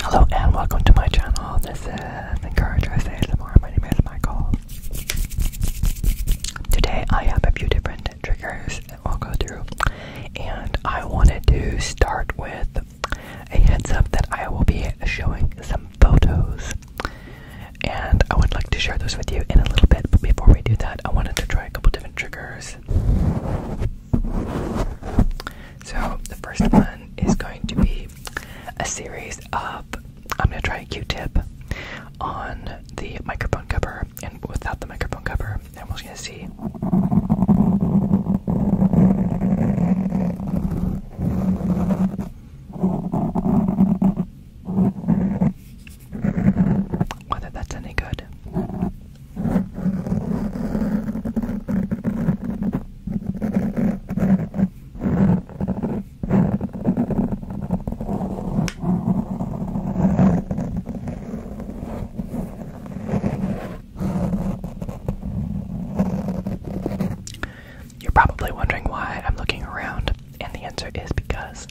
Hello and welcome to my channel. This is Encouragers ASMR. My name is Michael. Today I have a few different triggers that we'll go through, and I wanted to start with a heads up that I will be showing some photos, and I would like to share those with you in a little bit. But before we do that, I wanted to try a couple different triggers. So, the first one is going to be a series of. I'm going to try a q tip on the microphone cover and without the microphone cover, and we're going to see. Whether that's any good. You're probably wondering why I'm looking around, and the answer is because.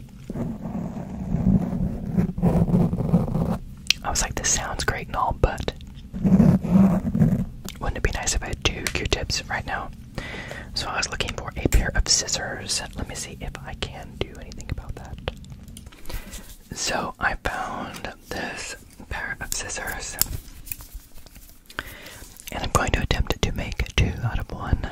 I was like, this sounds great and all, but wouldn't it be nice if I had two Q-tips right now? So I was looking for a pair of scissors. Let me see if I can do anything about that. So I found this pair of scissors. And I'm going to attempt to make two out of one.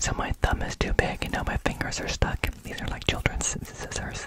So my thumb is too big and now my fingers are stuck. These are like children's scissors.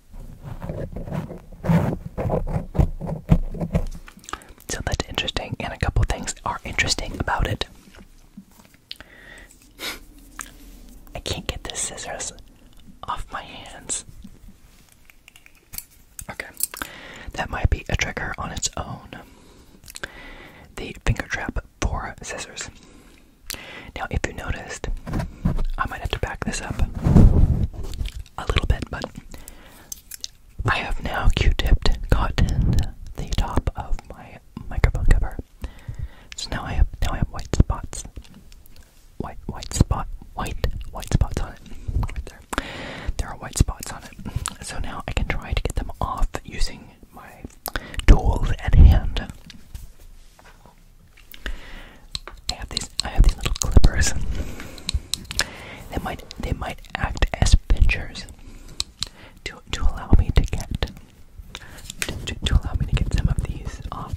So that's interesting, and a couple things are interesting about it. I can't get the scissors off my hands. Okay, that might be a trigger on its own. The finger trap for scissors. Now, if you noticed, I might have to back this up a little bit, but I have now Q-tipped cotton the top of my microphone cover. So now I have now I have white spots, white white spot white white spots on it. there, there are white spots on it. So now I can try to get them off using my tools at hand. I have these I have these little clippers. They might they might act as pinchers to to allow me to get to, to allow me to get some of these off.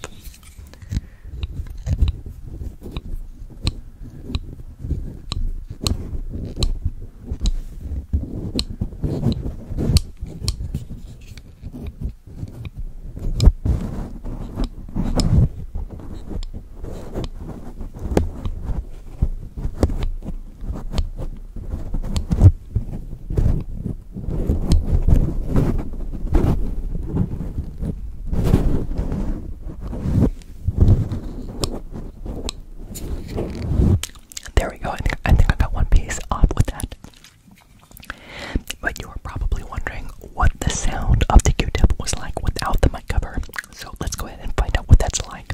There we go. I think I got one piece off with that. But you're probably wondering what the sound of the Q-tip was like without the mic cover. So let's go ahead and find out what that's like.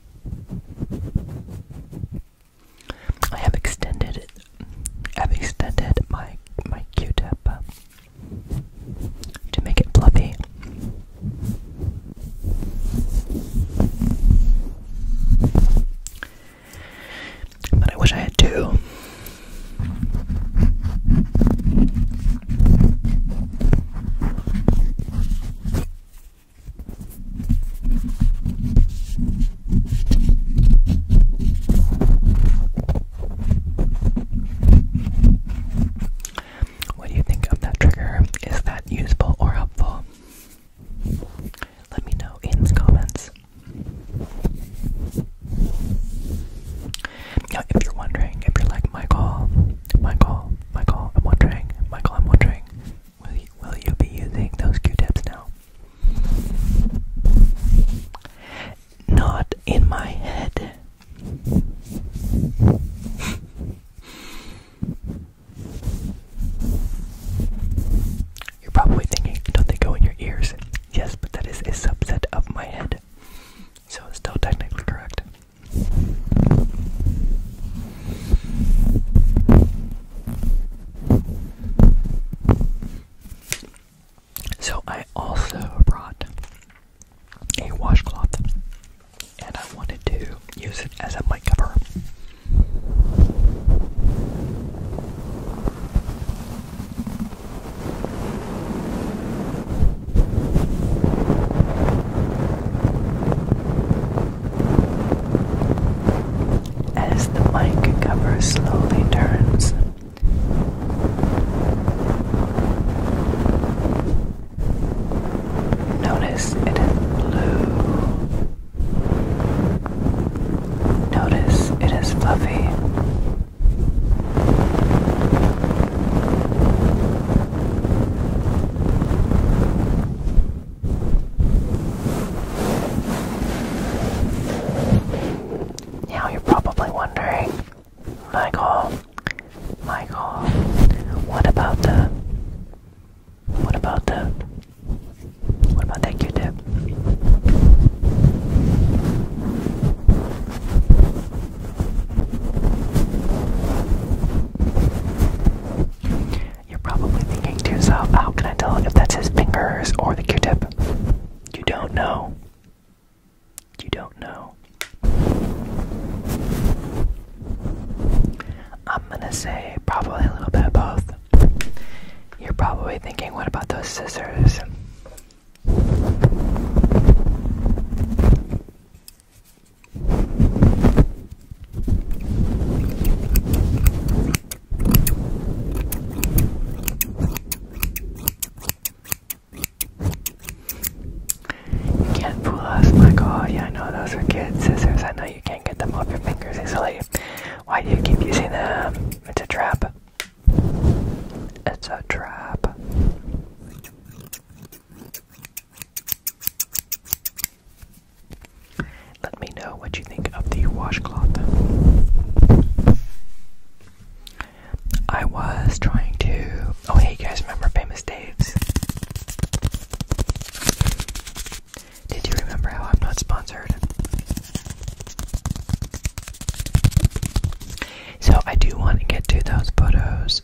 I have extended it. I've extended my my Q-tip uh, to make it fluffy. But I wish I had two. What do you think of that trigger? Is that useful or helpful? Let me know in the comments. Now, if you're wondering, if you're like Michael, Michael, Michael, I'm wondering, Michael, I'm wondering, will you, will you be using those Q-tips now? Not in my head. You're probably thinking, don't they go in your ears? Yes, but that is a subset of my head. So it's still technically correct. So I also brought a washcloth and I wanted to use it as a mic cover. As the mic cover slowly turns, notice it is blue, notice it is fluffy. Now you're probably wondering, Michael, Michael, what about the, what about the, what about that Q-tip? You're probably thinking to yourself, how can I tell if that's his fingers or the q tip? You don't know. You don't know. I'm gonna say probably a little bit of both. You're probably thinking, what about those scissors? You can't fool us, like, oh yeah, I know those are kids' scissors. I know you can't get them off your fingers easily. Why do you keep using them? It's a trap. It's a trap. Let me know what you think of the washcloth. I was trying to. Oh, hey, you guys remember Famous Dave's? Did you remember how I'm not sponsored? So, I do want to get to those photos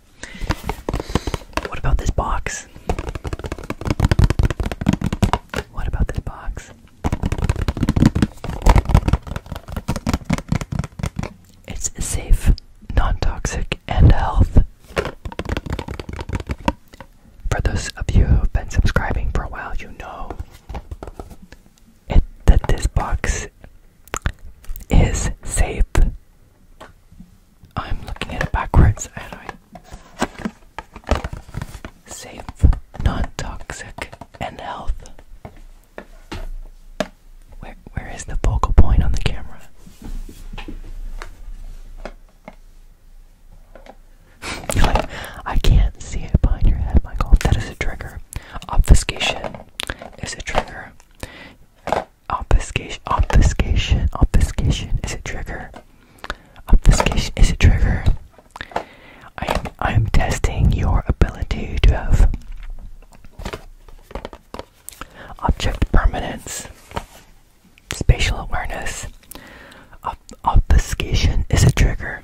What about this box? What about this box? It's safe, non toxic, and health. For those of you who've been subscribing for a while, you know that this box is safe, I'm looking at it backwards, and I safe, non-toxic, and health. Where where is the focal point on the camera? like, I can't see it behind your head, Michael. That is a trigger. Obfuscation is a trigger. Obfuscation, obfuscation, obfuscation is a trigger. Obfuscation is a trigger. I am, I am testing your ability to have object permanence, spatial awareness. Ob obfuscation is a trigger.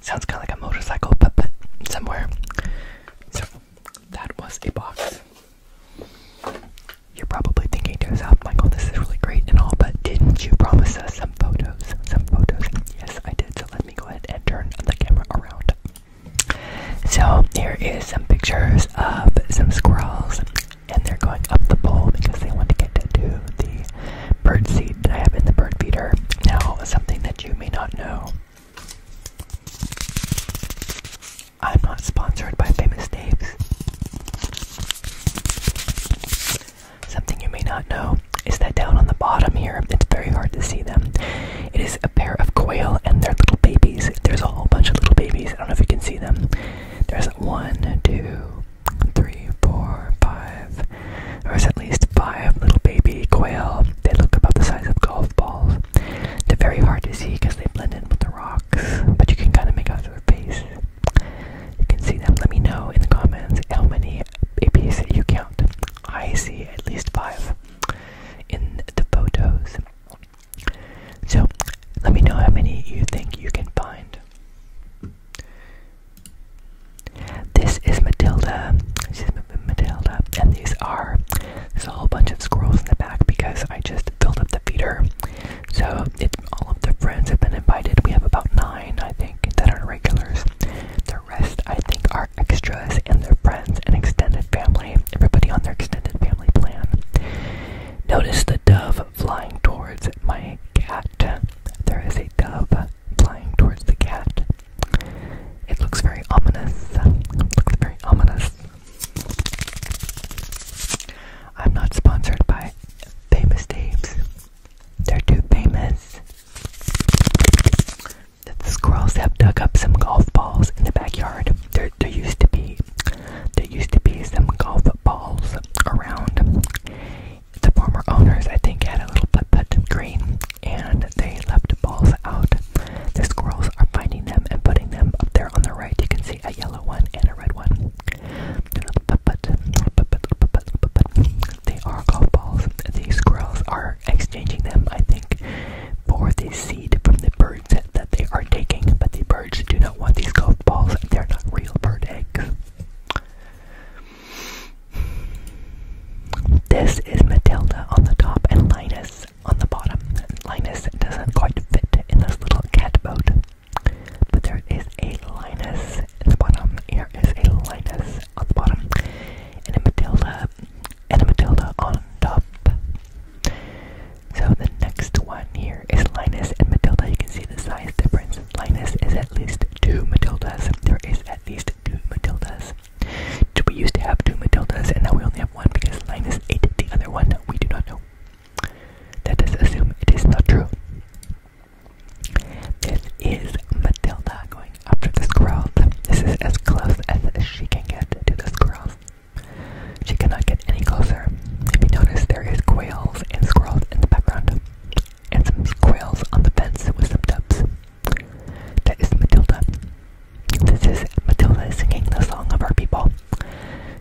Sounds kind of like a motorcycle, but, but somewhere. So, that was a box. You're probably thinking to yourself, Michael, this is really great and all, but didn't you promise us some photos? Some photos? Yes, I did. So, let me go ahead and turn the camera around. So, here is some pictures of some squirrels and they're going up the pole because they want to get to the bird seed I have in the bird feeder. Now, something that you may not know. I'm not sponsored by Famous Dave's. Something you may not know is that down on the bottom here, it's very hard to see them. It is a pair of quail and their little babies. There's a whole bunch of little babies. I don't know if you can see them. There's one, two, three, four, five, or at least five little baby quail. They look about the size of golf balls. They're very hard to see because they blend in with the rocks, but you can kind of make out their face. You can see them. Let me know in the comments how many babies you count. I see at least five in the photos. So, let me know how many you think you can find. This is Matilda. This Matilda. And these are, there's a whole bunch of squirrels in the back because I just filled up the feeder. So it, all of the friends have been invited. We have about nine, I think, that are regulars. The rest, I think, are extras and their friends and extended family. Everybody on their extended family plan. Notice the dove flying towards my cat. There is a dove flying towards the cat. It looks very ominous. looks very ominous. I'm not sponsored by Famous Dave's. They're too famous. The squirrels have dug up some golf balls in the backyard. There, there used to be, there used to be some golf footballs around. The former owners, I think, had a little putt putt green and they left balls out. The squirrels are finding them and putting them up there on the right. You can see a yellow one and a red one. Putt putt, putt putt, putt putt, putt putt. They are golf balls. The squirrels are exchanging them, I think, for the seed from the birds that they are taking, but the do not want these golf balls. They're not real bird eggs. This is Matilda on the top and Linus on the bottom. Linus doesn't quite fit in this little cat boat. But there is a Linus in the bottom. Here is a Linus on the bottom. And a Matilda and a Matilda on top. So the next one here is Linus and Matilda. You can see the size difference. Linus is at least two Matildas. There is at least two Matildas. We used to have two Matildas and now we only have one because Linus ate the other one. We do not know. Let us assume it is not true. This is Matilda going after the squirrels. This is as close as she can get to the squirrels. She cannot get any closer. Maybe notice, there is quails and squirrels in the background, and some quails on the fence with some dubs. That is Matilda. This is Matilda singing the song of our people,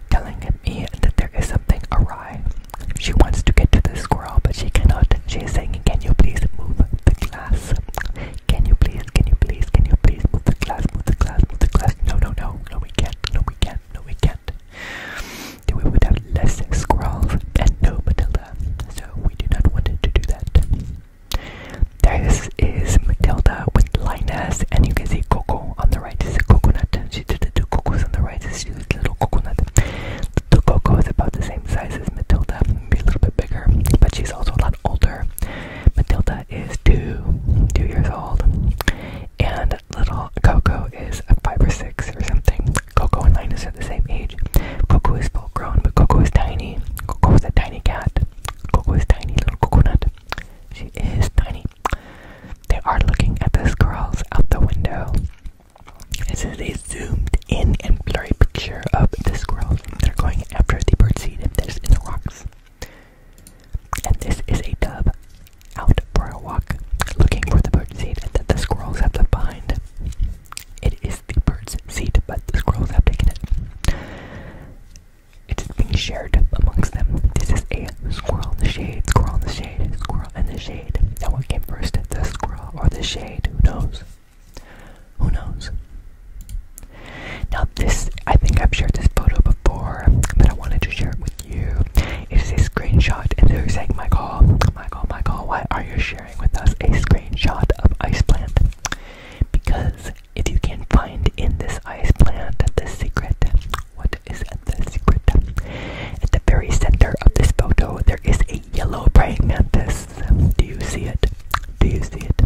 telling me that there is something awry. She wants to get to the squirrel, but she cannot. She is saying, Can you please move the glass? Can you please, can you please, can you please move the glass, move the glass, move the glass? No, no, no, no, we can't no we can't, no we can't. Then we would have less squirrels and no Matilda, so we do not want to do that. This is Matilda with Linus, and you can see Coco on the right is a coconut. She did the two cocos on the right, is she's a little coconut. The Coco is about the same size as Matilda, maybe a little bit bigger, but she's also a lot older. Matilda is two, two years old, and little Coco is a five or six or something. Coco and Linus are the same age. Coco is full grown, but Coco is tiny. Coco is a tiny cat. Coco is tiny little coconut. She is tiny. They are looking at the squirrels out the window. This is a zoomed in and blurry picture of the squirrels. They're going after the bird seed that's in the rocks. And this is a dove out for a walk, looking for the bird's seed that the squirrels have to find. It is the bird's seed, but the squirrels have taken it. It is being shared amongst them. This is a squirrel in the shade, squirrel in the shade, squirrel in the shade. Now what came first, the squirrel or the shade? Who knows? Who knows? Now this I think I've shared this photo before, but I wanted to share it with you. It's a screenshot, and they're saying, Michael, Michael, Michael, why are you sharing with us a screenshot of ice plant? Because if you can find in this ice plant the secret, what is the secret? At the very center of this photo, there is a yellow praying mantis. Do you see it? Do you see it?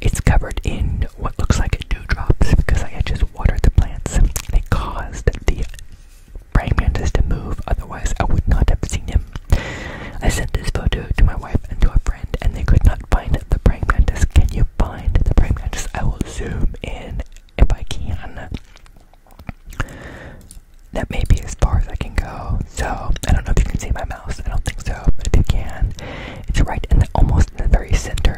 It's covered in what looks like a dewdrops because I had just watered the plants. They caused the praying mantis to move, otherwise I would not have seen him. I sent this photo to my wife and to a friend, and they could not find the praying mantis. Can you find the praying mantis? I will zoom in if I can. That may be as far as I can go. So I don't know if you can see my mouse. I don't think so, but if you can, it's right in the almost in the very center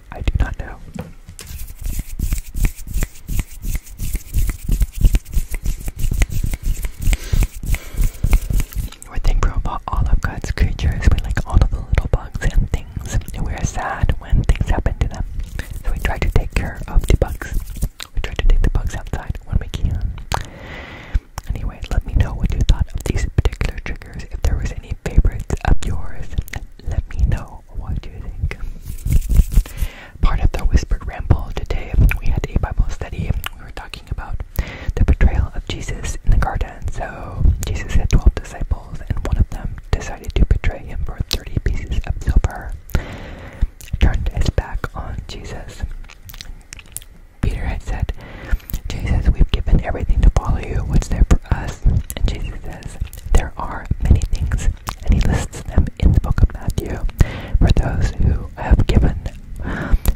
I do not know. You think, about all of God's creatures with like all the little bugs and things, and we are sad when things happen to them. So we try to take care of the bugs. We try to take the bugs outside when we can. Anyway, let me know what you thought of these particular triggers. If there was any favorites of yours, let me know what you think. Part of the Whispered Ramble today, we had a Bible study. We were talking about the betrayal of Jesus in the garden. So, Jesus had 12 disciples, and one of them decided to betray him for 30 pieces of silver, turned his back on Jesus. Peter had said, Jesus, we've given everything to follow you. What's there us. And Jesus says, There are many things, and he lists them in the book of Matthew for those who have given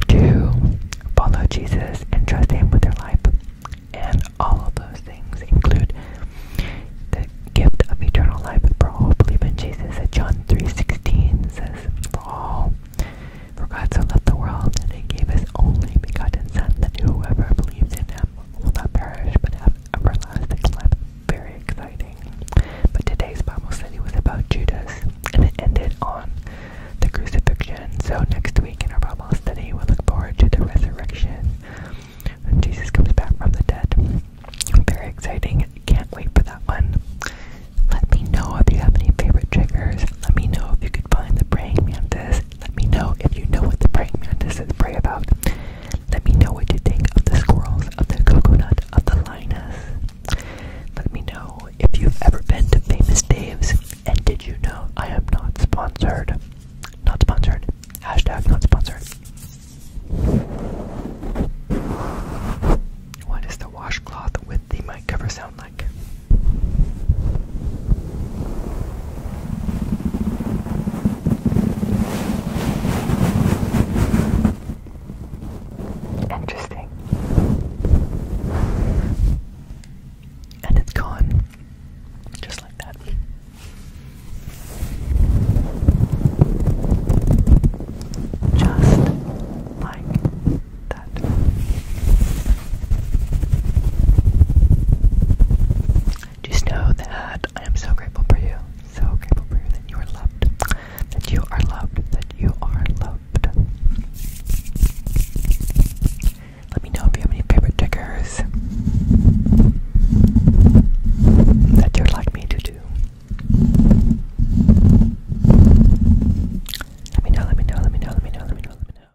to follow Jesus and trust him with their life. And all of those things include the gift of eternal life for all who believe in Jesus. That John 3.16 says, For all, for God so loved the world that he gave his only begotten Son, that whoever believes in him will not perish but have everlasting life. Very exciting. But today's Bible study was about Judas and it ended on the crucifixion. So next week in our Bible study, we'll look forward to the resurrection when Jesus comes back from the dead. Very exciting. Can't wait for that one. Let me know if you have any favorite triggers. Let me know if you could find the praying mantis let me know if you know what the praying mantises pray about. Let me know what you think of the squirrels, of the coconut, of the lioness. Let me know if you've ever been to Famous Dave's. And did you know I am not sponsored? Not sponsored. Hashtag not sponsored. What does the washcloth with the mic cover sound like? Interesting. And it's gone. Just like that. Just like that. Just know that I am so grateful for you. So grateful for you that you are loved. That you are loved. That you are loved. Let me know if you have any favorite triggers that you would like me to do. Let me know, let me know, let me know, let me know, let me know, let me know.